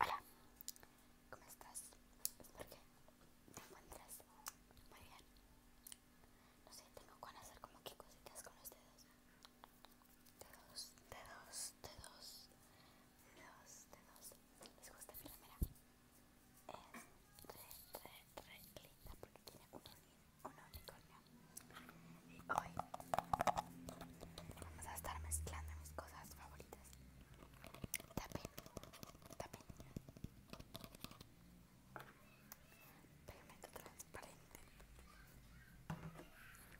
Hola, ¿cómo estás? Espero que te encuentras muy bien. No sé, tengo que hacer como que cositas con los dedos. Dedos, dedos, dedos, dedos, dedos. ¿Les gusta? Mira, mira. Es re, re, re linda porque tiene unos una unicornio. Y hoy vamos a estar mezclando mis cosas favoritas. tapín, tapín Pigmento transparente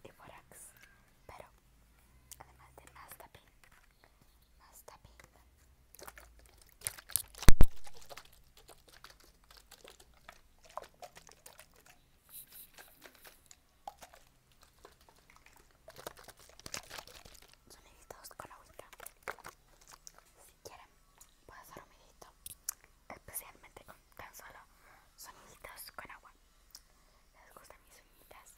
y borax. Pero además de más tapín, más tapín. Soniditos con agua Si quieren, puedo hacer un especialmente con tan solo soniditos con agua. ¿Les gustan mis soniditas?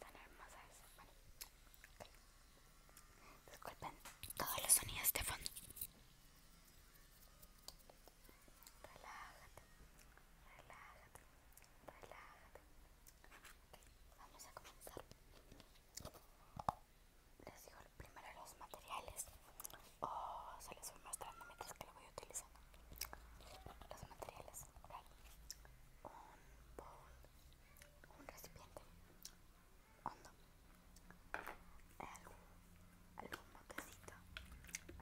Tan hermosas. Disculpen todos los sonidos de fondo. Relájate, relájate, relájate. vamos a comenzar. Les digo primero los materiales. oh, se los voy mostrando mientras que lo voy utilizando. Los materiales. Un bowl, un recipiente, hondo algún, algún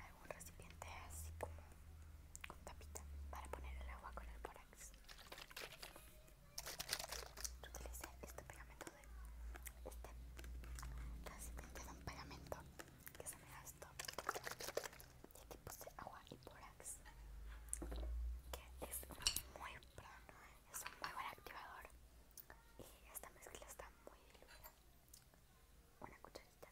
algún recipiente así como con tapita para poner el agua con el borax yo utilicé este pegamento de este recipiente de un pegamento que se me gastó y aquí puse agua y porax que es muy, plano, ¿eh? es un muy buen activador y esta mezcla está muy diluida. Una cucharita.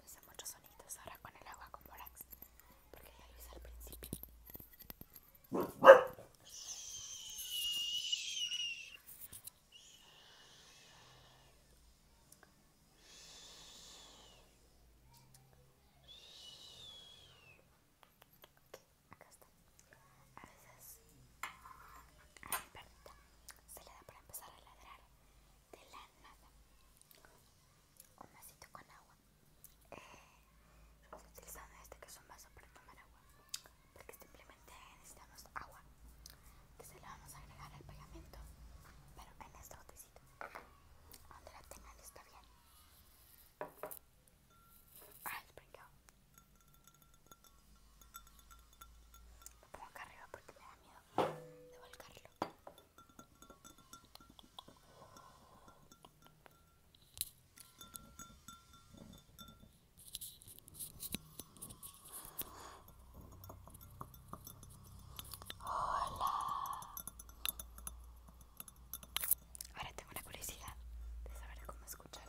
No sé muchos sonidos ahora con el agua con borax porque ya lo hice al principio. Acá está. A veces a mi perrita se le da para empezar a ladrar de la nada. Un vasito con agua. Estamos eh, utilizando este que es un vaso para tomar agua. Porque simplemente necesitamos agua que se le vamos a agregar al pegamento, pero en esta gotecita donde la tengan está bien. Ah, brincado. lo pongo acá arriba porque me da miedo de volcarlo. Hola. Ahora tengo una curiosidad de saber cómo escuchar.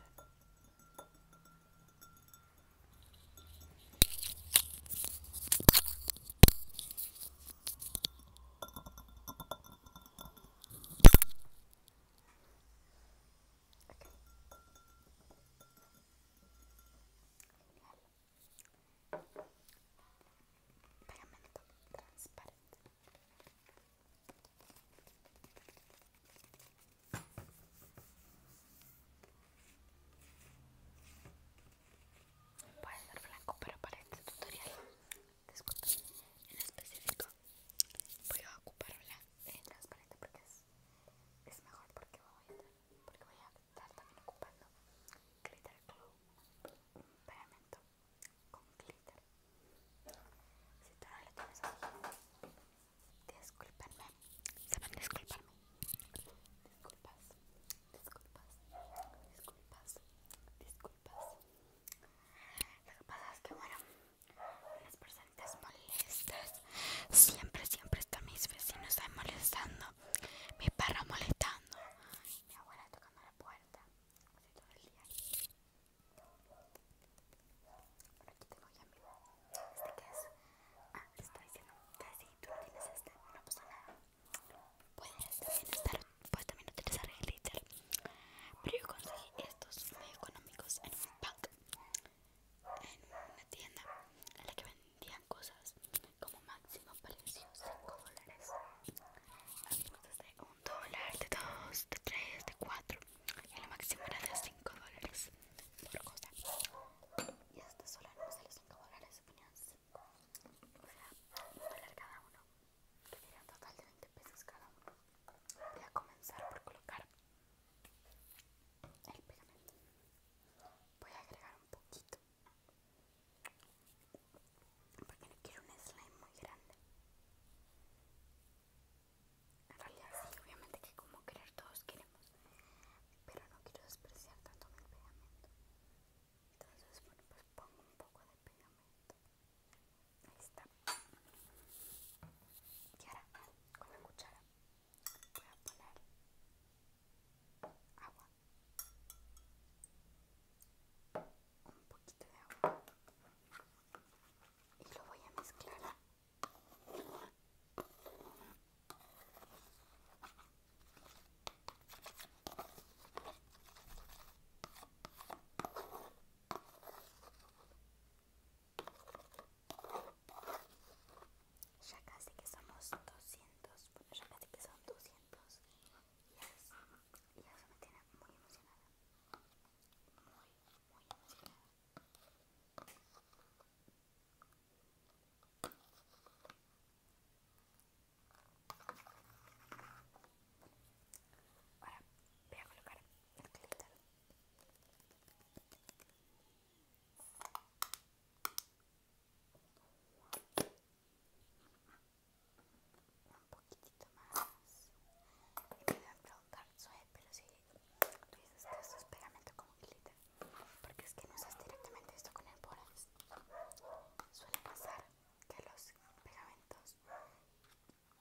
Okay. Pegamento transparente. Puede ser blanco, pero para este tutorial, en específico voy a ocupar blanco. Y transparente porque es, mejor porque voy, a, estar también ocupando glitter glue un pegamento con glitter si tú no lo tienes aquí disculpenme saben disculparme disculpas disculpas disculpas disculpas lo que pasa es que bueno las personas molestas. Siempre, siempre están mis vecinos ahí molestando. Mi perro molestando. mi abuela tocando la puerta. Así todo el día. Bueno, aquí tengo ya mi. ¿Este qué es? Ah, te estoy diciendo que si tú no tienes este, no pasa nada. Puedes también estar, puedes también utilizar el glitter. Pero yo conseguí estos muy económicos en un pack en una tienda en la que vendían cosas como máximo precio 5 dólares cosas de 1 dólar, de 2, de 3, de 4 y lo máximo era de 5 dólares por cosa y hasta este solo no los 5 dólares 5 o sea, cada uno que un total de 20 pesos cada uno voy a comenzar por colocar el pegamento. Voy a agregar un poquito. Porque no quiero un slime muy grande. En realidad sí, obviamente que como querer todos queremos. Pero no quiero despreciar tanto mi pegamento. Entonces, bueno, pues pongo un poco de pegamento. Y ahora, con la cuchara, voy a poner agua. Un poquito de agua. Y lo voy a mezclar. Ya casi que somos 200, bueno, ya casi que son 200. Y eso me tiene muy emocionada. Muy, muy emocionada. Ahora voy a colocar un poquitito más. Y me va a pero si tú dices que esto es pegamento como glitter, porque es que no usas directamente esto con el borax. Suele pasar que los pegamentos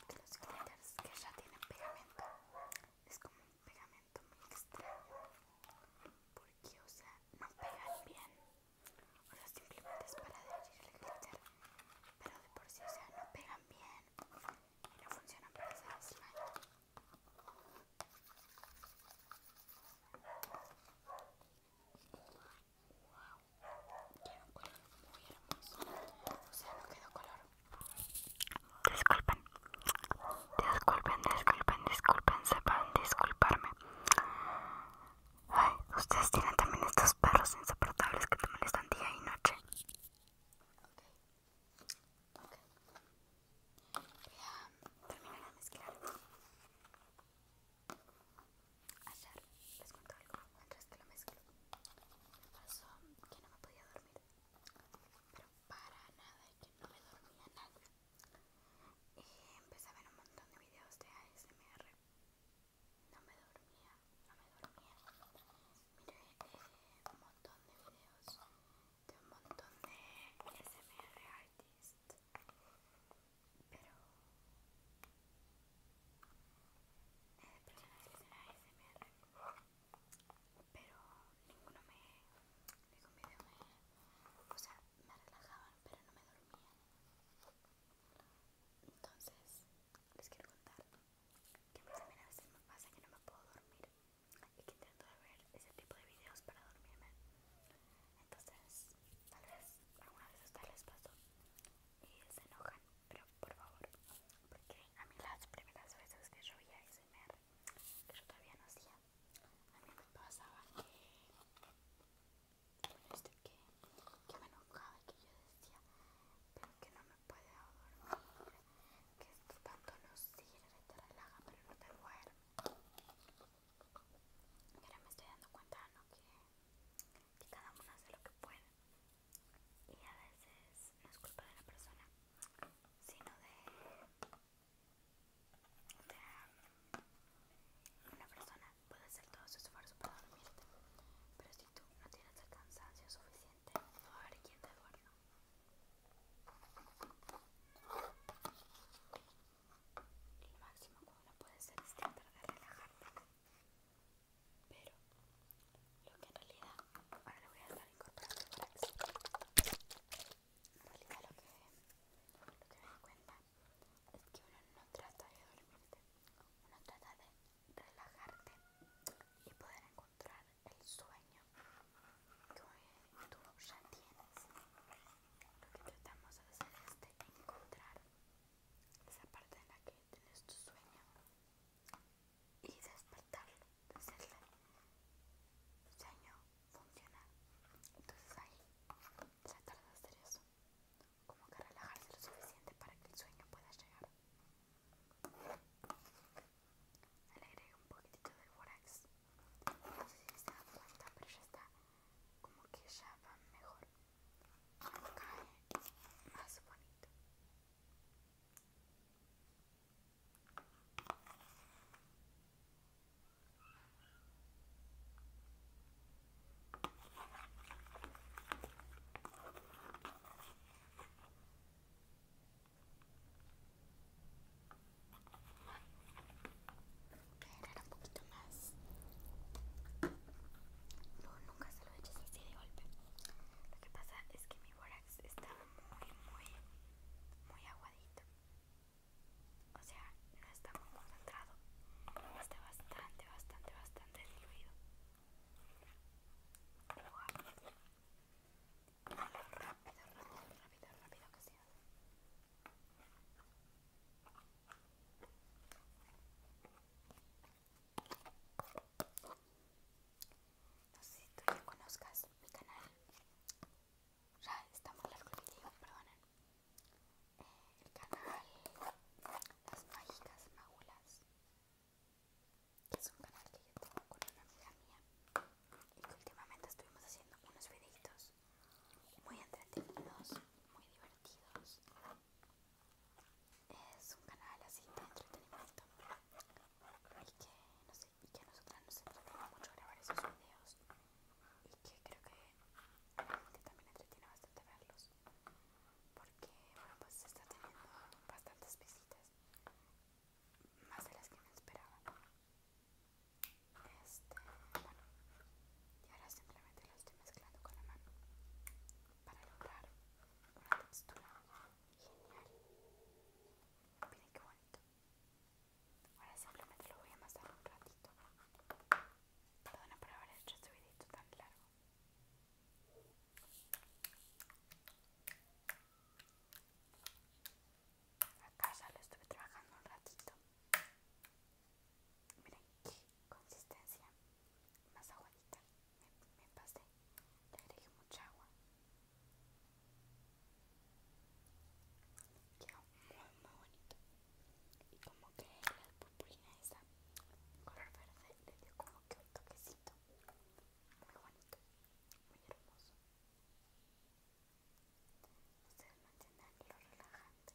los glitters que ya tienen pegamento es como un pegamento muy extraño porque o sea no pegan bien o sea simplemente es para adherir el glitter pero de por sí o sea no pegan bien y no funcionan para hacer slime wow, queda un color muy hermoso, o sea, no quedó color. Disculpen, disculpen, disculpen, disculpen, sepan disculparme. ustedes tienen también estos perros insoportables que te molestan día y noche. Ok, ok. Voy a terminar de mezclar. Ayer, les cuento algo, que lo mezclo. pasó que no me podía dormir, pero para nada, y que no me dormía nada. Y empecé a ver un montón de videos de ASMR. No me dormía, no me dormía. Miré eh, un montón de videos de un montón de ASMR artists pero de personas que hacen ASMR pero ninguno me ningún video me o sea me relajaban pero no me dormían entonces les quiero contar que más veces me pasa que no me puedo dormir y que intento ver ese tipo de videos para dormirme entonces, tal vez alguna vez hasta les pasó y se enojan, pero por favor, porque a mí las primeras veces que yo vi a SMR, que yo todavía no hacía, a mí me pasaba este, que, que, me enojaba y que yo decía, pero que no me puede dormir, que esto tanto no sirve, te relaja, pero no te duerme ahora me estoy dando cuenta, Que, cada uno hace lo que puede. Y a veces no es culpa de la persona, sino de... Una persona puede hacer todo su esfuerzo para dormirte, pero si tú no tienes el cansancio suficiente, no va a haber quien te duerma. Lo máximo que uno puede hacer es tratar de relajarte. Pero lo que en realidad, ahora lo voy a estar incorporando por En realidad lo que, lo que me di cuenta es que uno no trata de dormirte, uno trata de relajarte y poder encontrar el sueño que tú ya tienes lo que tratamos de hacer es de encontrar esa parte en la que tienes tu sueño y despertarlo, decirle sueño funciona. Entonces ahí tratar de hacer eso, como que relajarse lo suficiente para que el sueño pueda llegar. Le un poquitito de borax no sé si se cuenta, pero ya está como que ya va mejor. cae más bonito. Voy a un poquito más. No, nunca se lo he hecho así de golpe. Lo que pasa es que mi borax está muy, muy, muy aguadito. O sea, no está muy concentrado. Está bastante, bastante, bastante diluido. Rápido, rápido, rápido, rápido que se hace. No sé si tú ya conozcas mi canal. Ya está muy largo el video, perdonen. Eh, el canal Las Mágicas Magulas. Es un canal que yo tengo con una amiga mía y que últimamente estuvimos haciendo unos videitos muy entretenidos, muy divertidos. Es un canal así de entretenimiento y que, no sé, y que a nosotras nos entretiene mucho grabar esos videos y que creo que la gente también entretiene bastante verlos porque, bueno, pues se está teniendo bastantes visitas más de las que me esperaba. Este, bueno, y ahora simplemente lo estoy mezclando con la mano para lograr una textura genial. Miren que bonito. Ahora simplemente lo voy a amasar un ratito. Perdona por haber hecho este videito tan largo acá ya lo estuve trabajando un ratito miren qué consistencia más aguadita me, pasé le agregué mucha agua quedó muy muy bonito y como que la purpurina esa color verde le dio como que un toquecito muy bonito muy hermoso Ustedes mantengan lo relajante.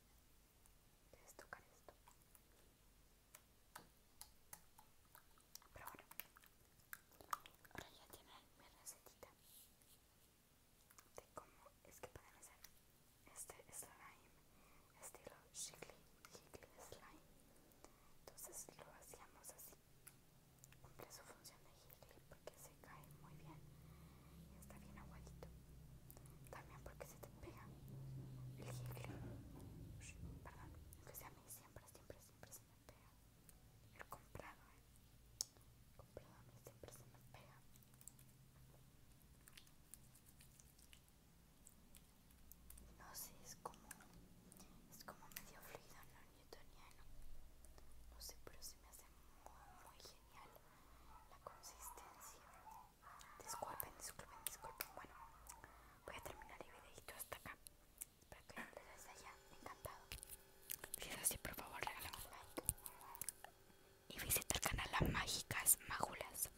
de tocar esto. Pero bueno, ahora ya tienen mi recetita de cómo es que pueden hacer este slime estilo shigley jiggly slime. Entonces lo hacíamos así Cumple su función de jiggly porque se cae muy bien y está bien aguadito. También porque se te pega el jiggly Perdón, aunque sea a mí siempre, siempre, siempre se me pega. El comprado, ¿eh? El comprado a mí siempre se me pega. No sé, es como. Es como medio fluido, no sé, pero se me hace muy, genial la consistencia. Disculpen, disculpen, disculpen. Bueno, voy a terminar el videito hasta acá. Espero que les haya encantado. Si es así, por favor, regálame un like. Y visita el canal Las Mágicas Mágulas.